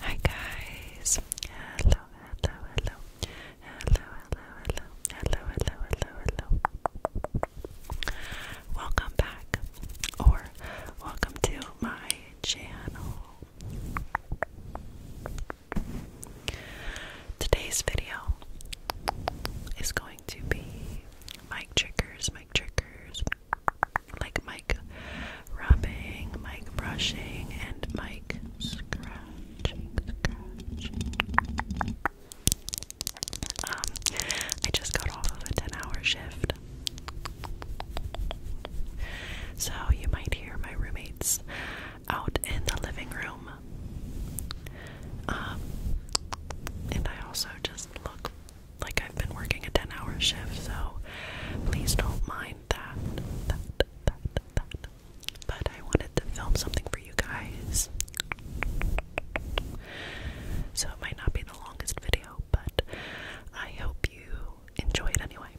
Hi guys. Hello, hello, hello. Hello, hello, hello. Hello, hello, hello, Welcome back or welcome to my channel. Today's video is going to be mic triggers, mic triggers, like mic rubbing, mic brushing, and mic scratching. Um, I just got off of a 10 hour shift. So you might hear my roommates out in the living room. Um, and I also just look like I've been working a 10 hour shift, so please don't mind that. that, that, that, that. But I wanted to film something for you guys. So it might not be the longest video, but I hope you enjoy it anyway.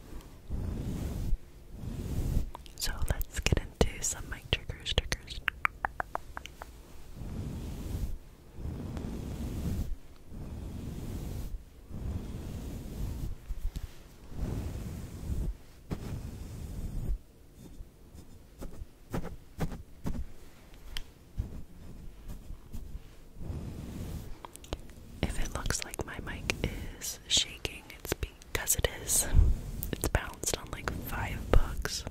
So let's get into some mic triggers, triggers. If it looks like my mic is shaking, it's because it is. It's bound it's on like five bucks.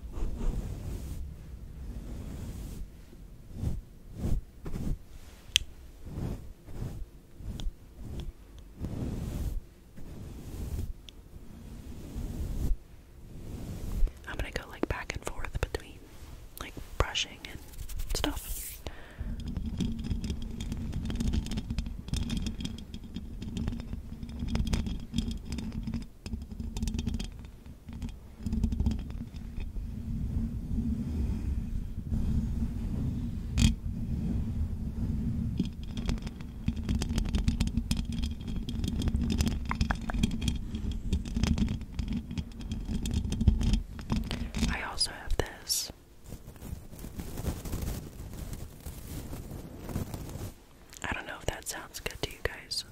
I'm gonna go like back and forth between like brushing and stuff. I also have this. I don't know if that sounds good to you guys.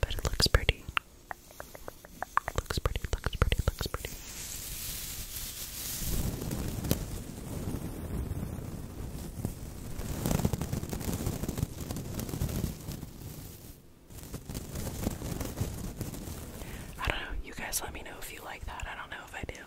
But it looks pretty. Looks pretty, looks pretty, looks pretty. I don't know. You guys let me know if you like that. I don't know if I do.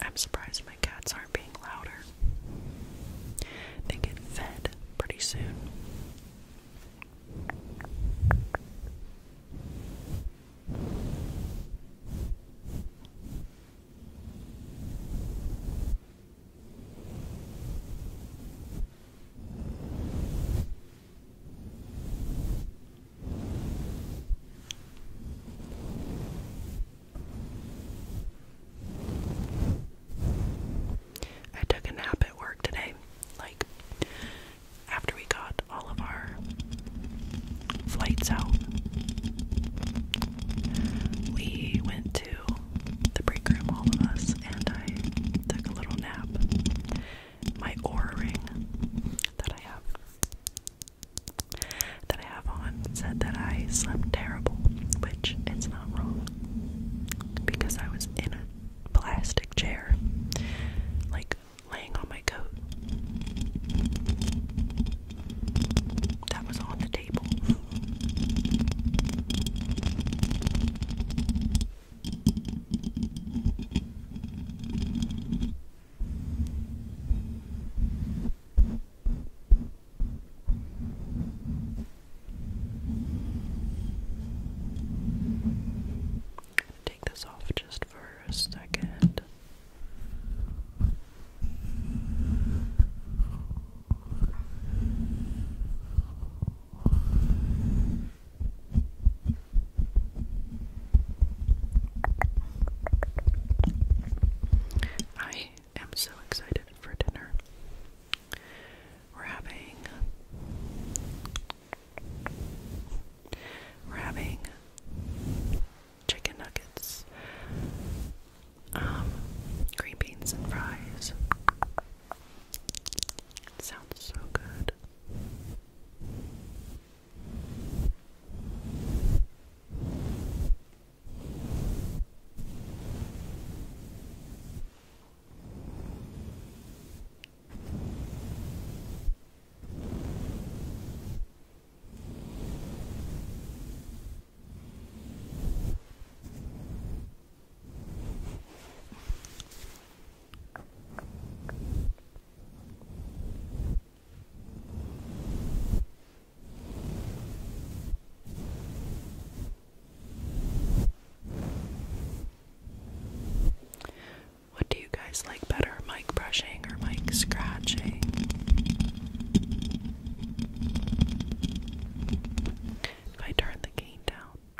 I'm surprised my cats aren't being louder. They get fed pretty soon. I took a nap at work today, like after we got all of our flights out. We went to the break room, all of us, and I took a little nap my O ring that I have that I have on said that I slept terrible, which it's not wrong because I was in a plastic chair, like laying on my coat that was on the table. Take this off just for a second. I am so excited for dinner. We're having we're having chicken nuggets, um, green beans and fries, sounds so Good. What do you guys like better, mic brushing or mic scratching? If I turn the cane down,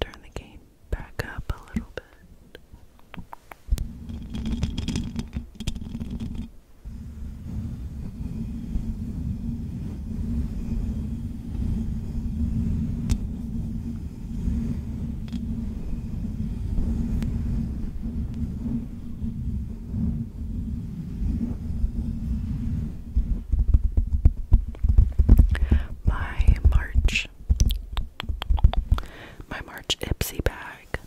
Turn the game back up a little bit. My March, my March Ipsy bag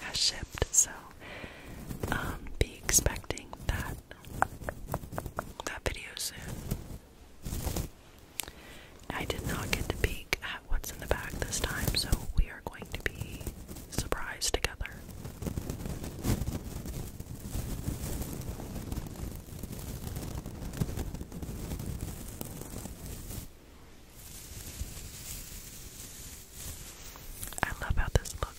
has shipped, so um, be expecting that that video soon. I did not get to peek at what's in the bag this time, so we are going to be surprise together. I love how this looks.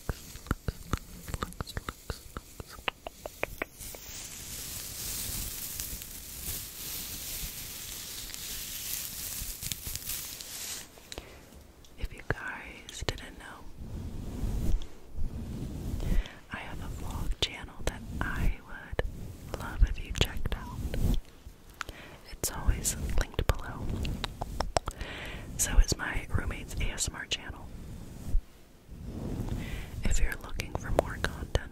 If you guys didn't know, I have a vlog channel that I would love if you checked out. It's always linked below. So is my roommate's ASMR channel. If you're looking for more content,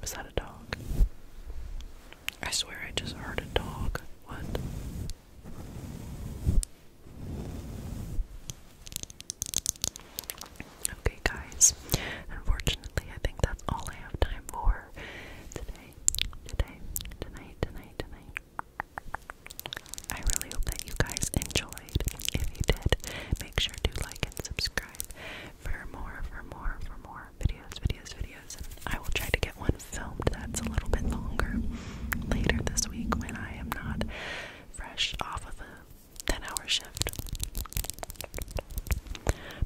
Was that a dog? I swear I just heard a dog. What? Okay, guys. Unfortunately, I think that's all I have time for today, today, tonight, tonight, tonight. I really hope that you guys enjoyed. If you did, make sure to like and subscribe for more, for more, for more videos, videos, videos. I will try to get one filmed that's a little bit longer later this week when I am not fresh off of a 10 hour shift.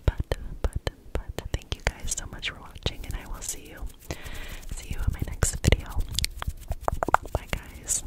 But, but, but, thank you guys so much for watching, and I will see you. See you in my next video. Bye, guys.